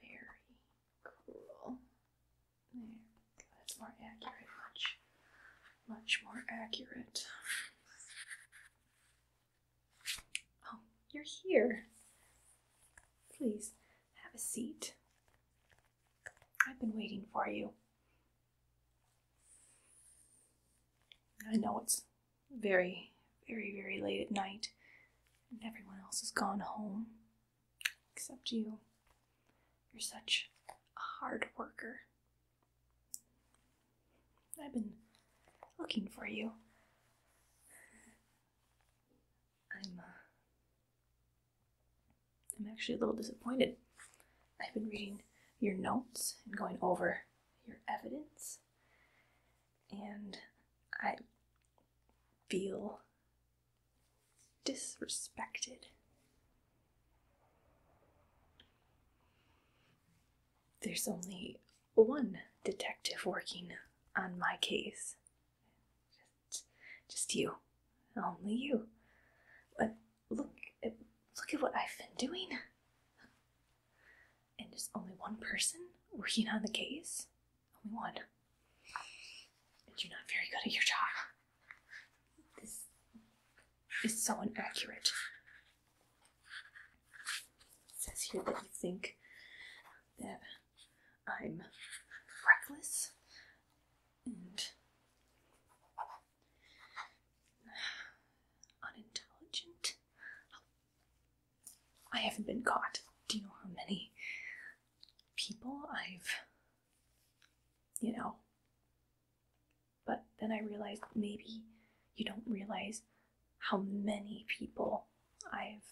very cool. There. That's more accurate. Much, much more accurate. Oh, you're here. Please have a seat. I've been waiting for you. I know it's very, very, very late at night, and everyone else has gone home except you. You're such a hard worker. I've been looking for you. I'm uh, I'm actually a little disappointed. I've been reading your notes and going over your evidence and I feel disrespected. There's only one detective working on my case. Just, just you. Only you. But look at, look at what I've been doing and it's only one person working on the case? Only one. And you're not very good at your job. This is so inaccurate. It says here that you think that I'm reckless and unintelligent. Oh, I haven't been caught. Do you know how many people I've, you know? But then I realized maybe you don't realize how many people I've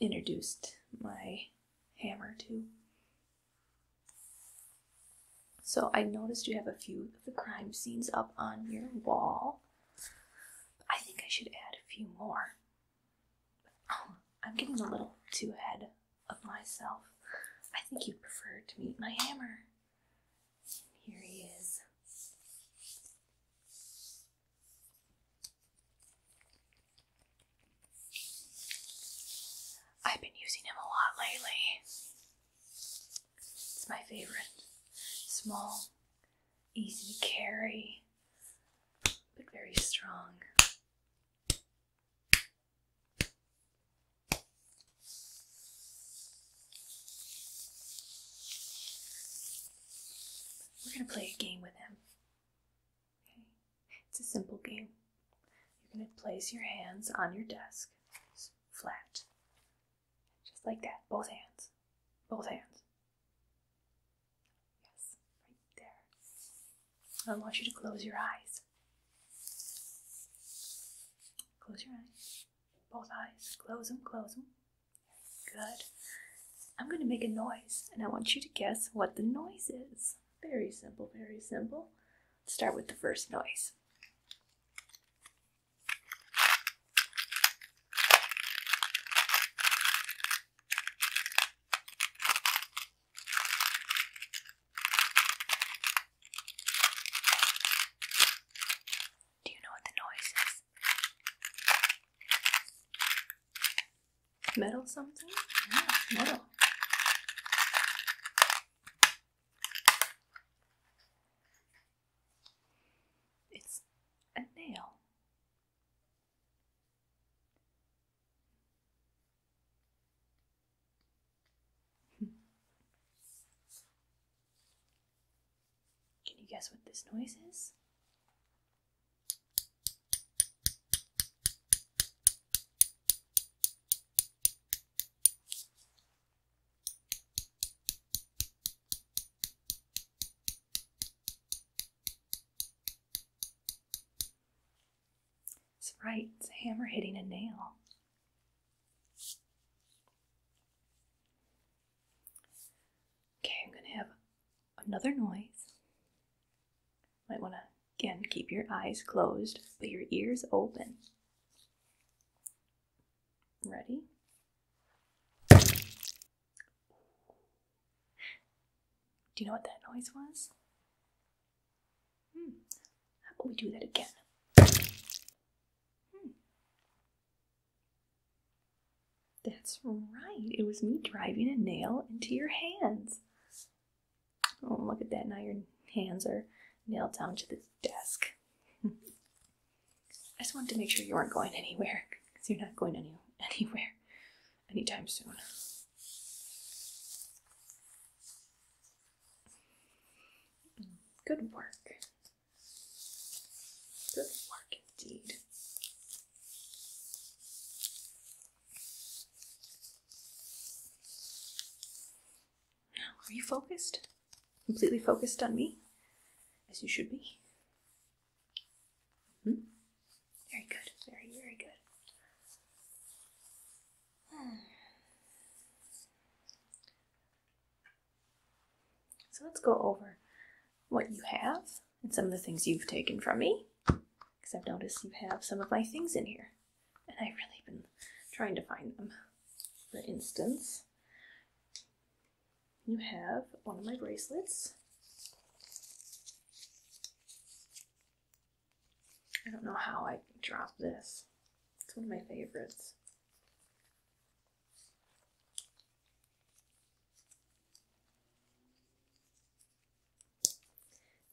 introduced my hammer to. So I noticed you have a few of the crime scenes up on your wall. I think I should add a few more. Oh, I'm getting a little too ahead of myself. I think you'd prefer to meet my hammer. Here he is. I've been using him a lot lately. It's my favorite. Small, easy to carry, but very strong. We're going to play a game with him. Okay? It's a simple game. You're going to place your hands on your desk, flat, just like that. Both hands. Both hands. Yes, right there. I want you to close your eyes. Close your eyes. Both eyes. Close them, close them. Good. I'm going to make a noise, and I want you to guess what the noise is. Very simple, very simple. Let's start with the first noise. Do you know what the noise is? Metal something? Yeah, metal. It's a nail. Can you guess what this noise is? That's right, it's a hammer hitting a nail. Okay, I'm going to have another noise. Might want to Again, keep your eyes closed, but your ears open. Ready? Do you know what that noise was? Hmm. How about we do that again? Hmm. That's right. It was me driving a nail into your hands. Oh, look at that. Now your hands are nailed down to the desk. I just wanted to make sure you weren't going anywhere because you're not going any, anywhere anytime soon. Good work. Good work indeed are you focused? Completely focused on me? As you should be? Hmm? Very good. Very, very good. Hmm. So let's go over what you have and some of the things you've taken from me. Because I've noticed you have some of my things in here and I've really been trying to find them. For instance, you have one of my bracelets. I don't know how I dropped this. It's one of my favorites.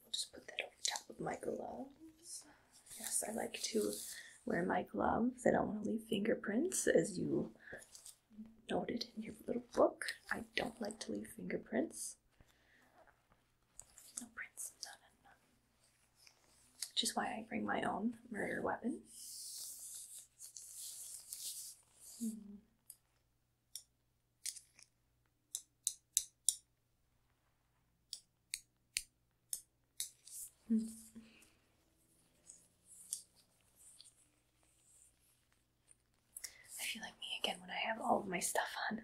I'll just put that over top of my gloves. Yes, I like to wear my gloves. I don't want to leave fingerprints, as you noted in your little book. I don't like to leave fingerprints. No prints, none, none. Which is why I bring my own murder weapon. Hmm. I feel like me again when I have all of my stuff on.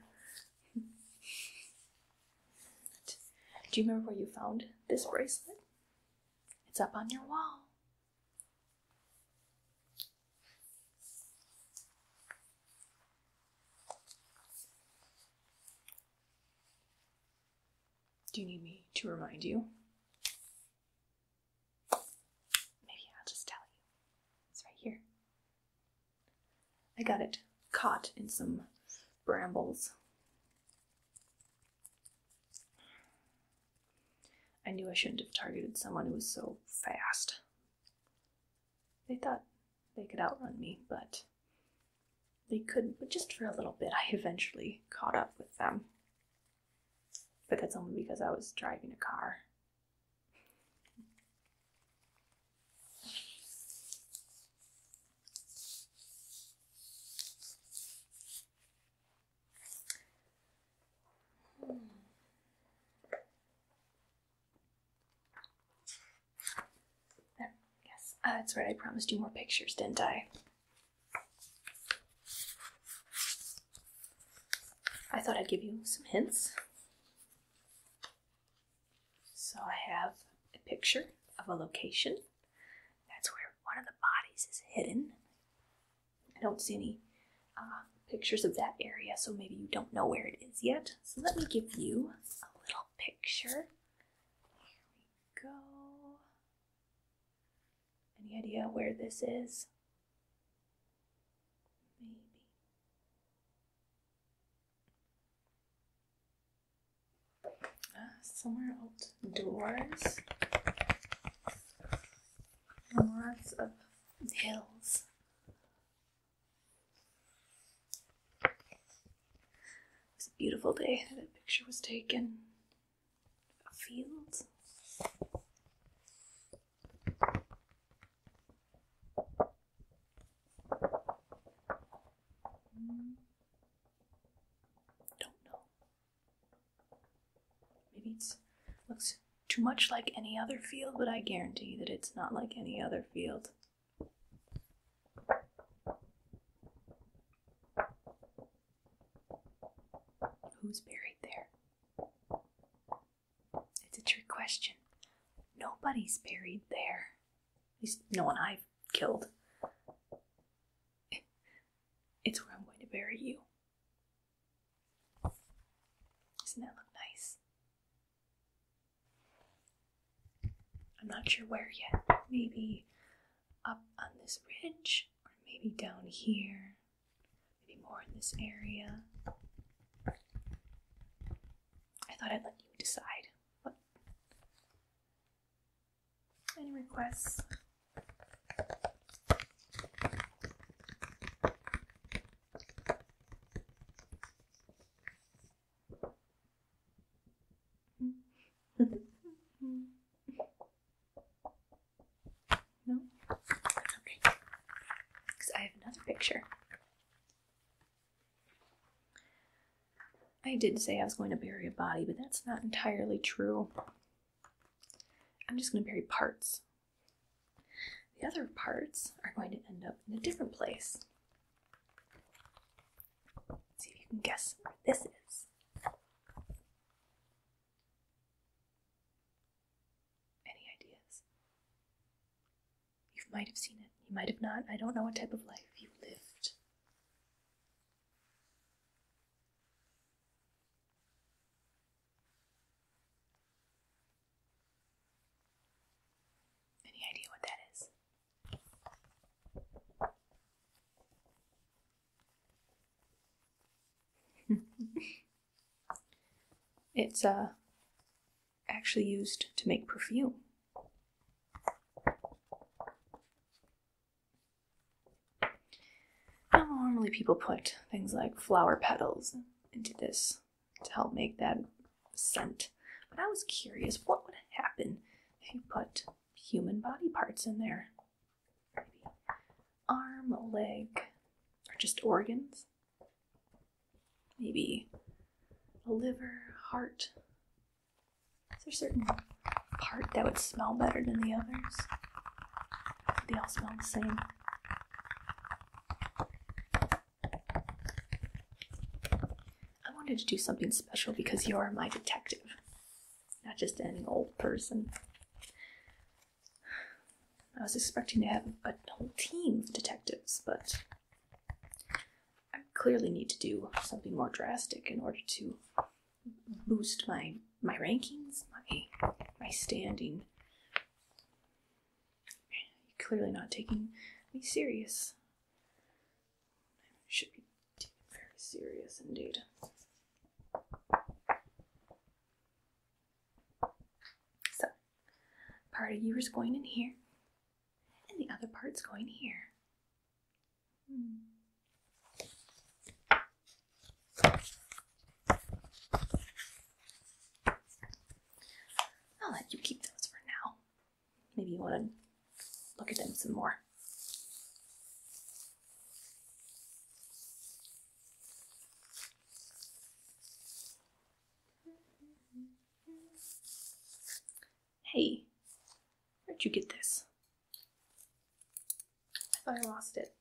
Do you remember where you found this bracelet? It's up on your wall. Do you need me to remind you? Maybe I'll just tell you. It's right here. I got it caught in some brambles. I knew I shouldn't have targeted someone who was so fast. They thought they could outrun me, but they couldn't. But just for a little bit, I eventually caught up with them. But that's only because I was driving a car yes. Uh, that's right, I promised you more pictures, didn't I? I thought I'd give you some hints. So I have a picture of a location. That's where one of the bodies is hidden. I don't see any uh, pictures of that area, so maybe you don't know where it is yet. So let me give you little picture. Here we go. Any idea where this is? Maybe. Ah, somewhere outdoors. lots of hills it was a beautiful day that, that picture was taken. A field. Hmm. Don't know. Maybe it's looks too much like any other field, but I guarantee that it's not like any other field. Who's buried there? It's a trick question. Nobody's buried there. At least no one I've killed. It's where I'm going to bury you. Doesn't that look nice? I'm not sure where yet. Maybe up on this ridge, or maybe down here, maybe more in this area. I thought I'd let you decide. Any requests? No? Okay. Because I have another picture. I did say I was going to bury a body, but that's not entirely true. I'm just going to bury parts. The other parts are going to end up in a different place see if you can guess where this is. Any ideas? You might have seen it, you might have not. I don't know what type of life you lived. Any idea what that is? it's uh actually used to make perfume. Now normally people put things like flower petals into this to help make that scent. But I was curious what would happen if you put human body parts in there? Maybe arm, leg, or just organs? Maybe a liver, heart? Is there a certain part that would smell better than the others? They all smell the same. I wanted to do something special because you're my detective, not just any old person. I was expecting to have a whole team of detectives, but I clearly need to do something more drastic in order to boost my my rankings, my my standing. You're clearly not taking me serious. I should be taken very serious indeed. So, part of you is going in here, and the other part's going here. Hmm. I'll let you keep those for now. Maybe you want to look at them some more. Hey, where'd you get this? I thought I lost it.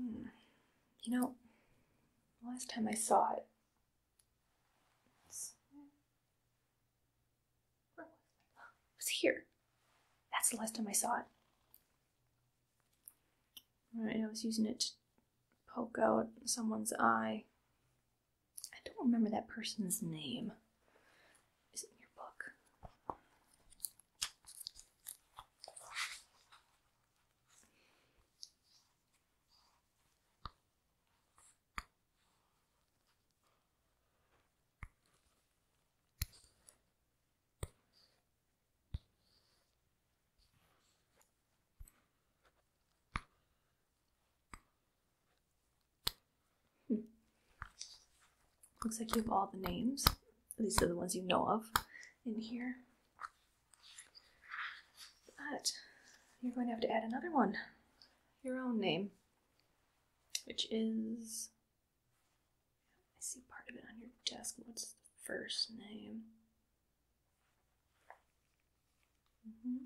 Mm. You know, last time I saw it, was it? was here. That's the last time I saw it. Right, I was using it poke out someone's eye. I don't remember that person's name. Is it in your book? Hmm. Looks like you have all the names. These are the ones you know of in here. But you're going to have to add another one. Your own name. Which is. I see part of it on your desk. What's the first name? Mm -hmm.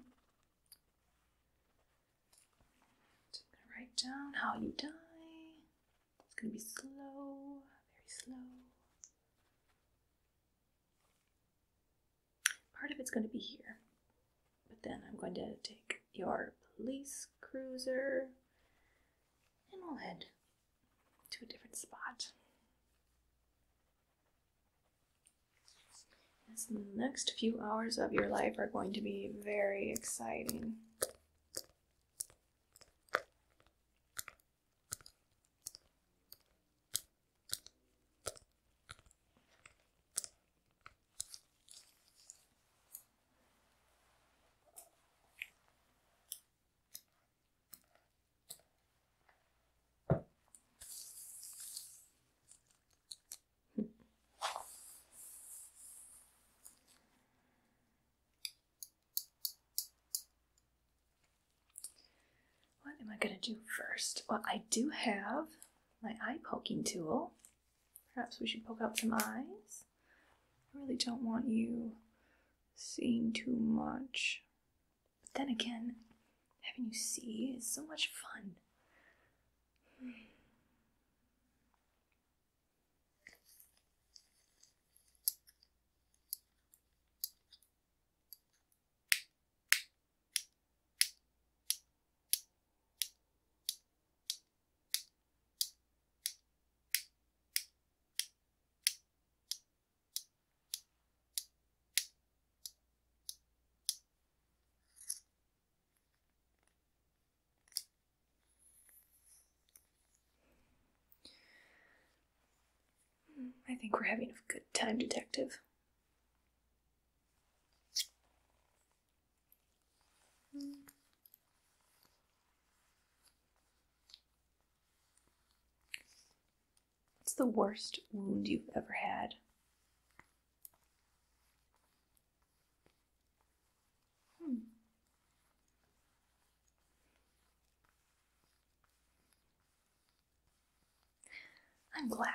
gonna write down how you die. It's gonna be slow, very slow. Part of it's gonna be here, but then I'm going to take your police cruiser and we'll head to a different spot the next few hours of your life are going to be very exciting. What am I going to do first? Well, I do have my eye poking tool. Perhaps we should poke out some eyes. I really don't want you seeing too much but then again, having you see is so much fun. I think we're having a good time, Detective. It's the worst wound you've ever had? Hmm. I'm glad.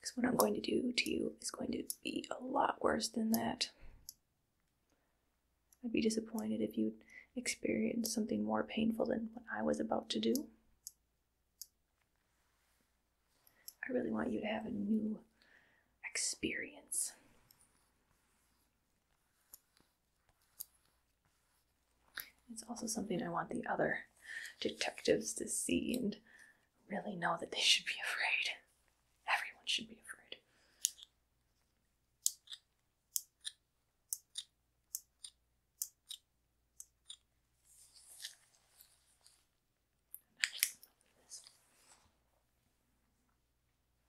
Because what I'm going to do to you is going to be a lot worse than that. I'd be disappointed if you'd experienced something more painful than what I was about to do. I really want you to have a new experience. It's also something I want the other detectives to see and really know that they should be afraid. Everyone should be afraid.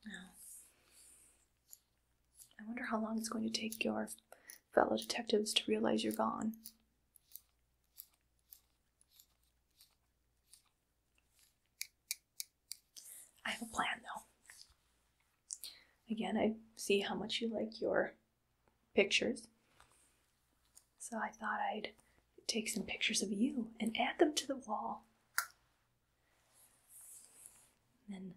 Now, I wonder how long it's going to take your fellow detectives to realize you're gone. I have a plan though. Again, I see how much you like your pictures. So I thought I'd take some pictures of you and add them to the wall. then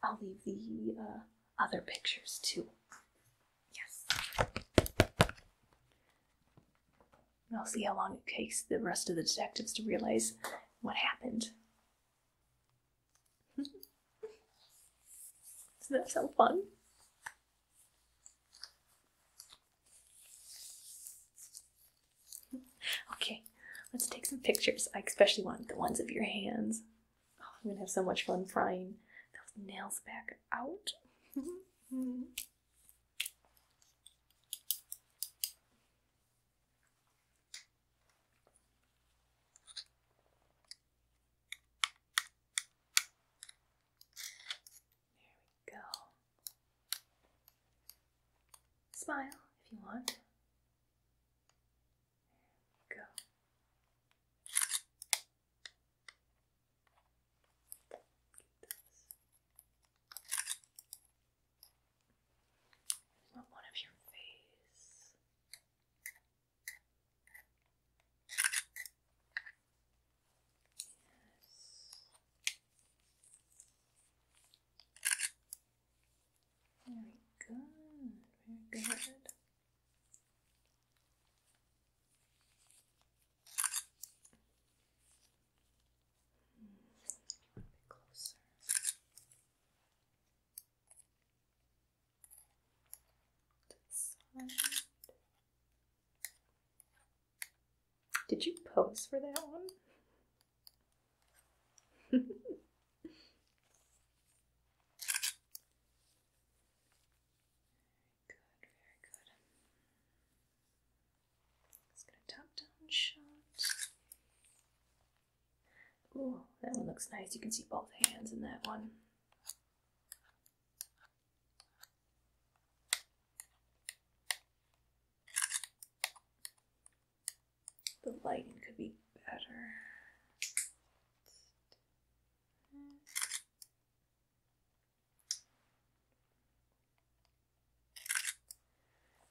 I'll leave the uh, other pictures too. Yes i will see how long it takes the rest of the detectives to realize what happened. Doesn't that sound fun? okay, let's take some pictures. I especially want the ones of your hands. Oh, I'm gonna have so much fun frying those nails back out. There we go. Smile if you want. There we go. There's not one of your face. Yes. Very good, very good. Did you pose for that one? Very good, very good. Just gonna tap down shot. Oh, that one looks nice. You can see both hands in that one. The lighting could be better.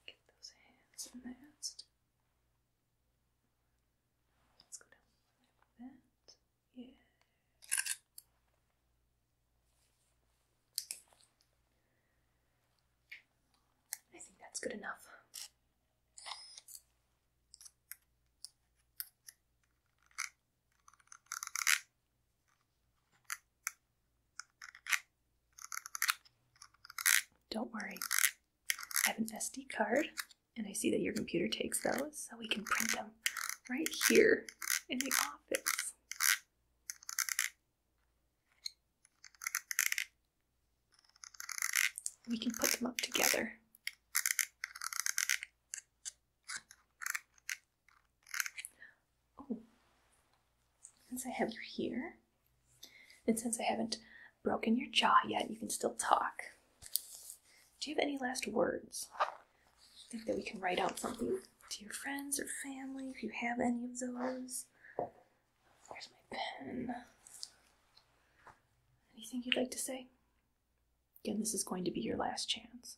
Get those hands immersed. Let's go down like that. Yeah. I think that's good enough. Don't worry. I have an SD card, and I see that your computer takes those, so we can print them right here in the office. We can put them up together. Oh. since I have you here, and since I haven't broken your jaw yet, you can still talk. Do you have any last words? think that we can write out something to your friends or family if you have any of those. Here's my pen. Anything you'd like to say? Again, this is going to be your last chance.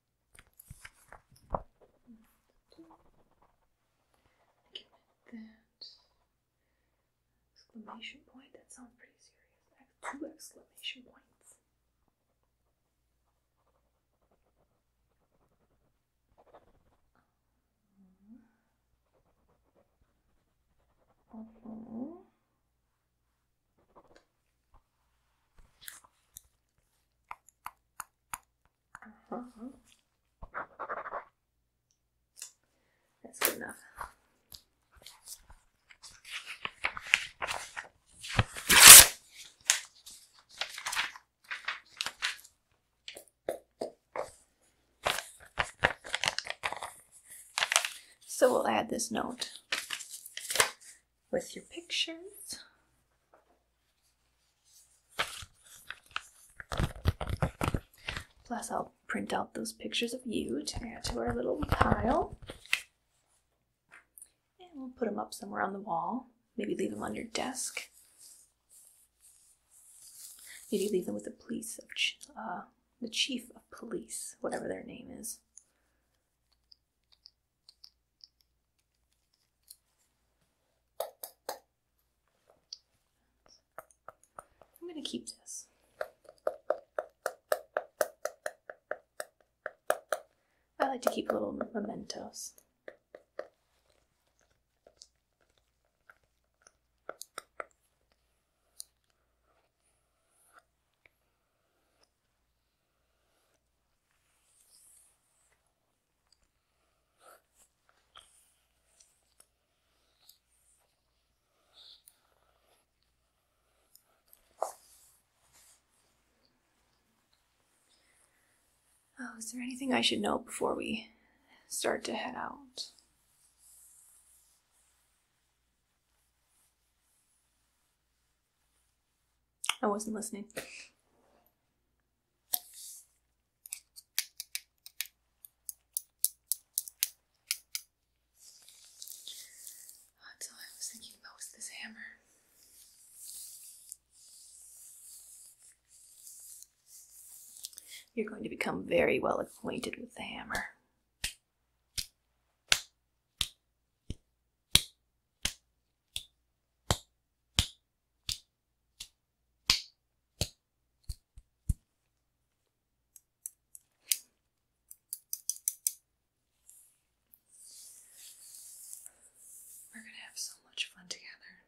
that exclamation point. That sounds pretty serious. Two exclamation points. Uh Mm-hmm. That's good enough. So we'll add this note with your pictures. Plus, I'll print out those pictures of you to add to our little pile. And we'll put them up somewhere on the wall. Maybe leave them on your desk. Maybe leave them with the police of uh, the chief of police, whatever their name is. I'm going to keep this. I like to keep little mementos. Oh, is there anything I should know before we start to head out? I wasn't listening. That's I was thinking about this hammer. You're going to become very well acquainted with the hammer. We're going to have so much fun together.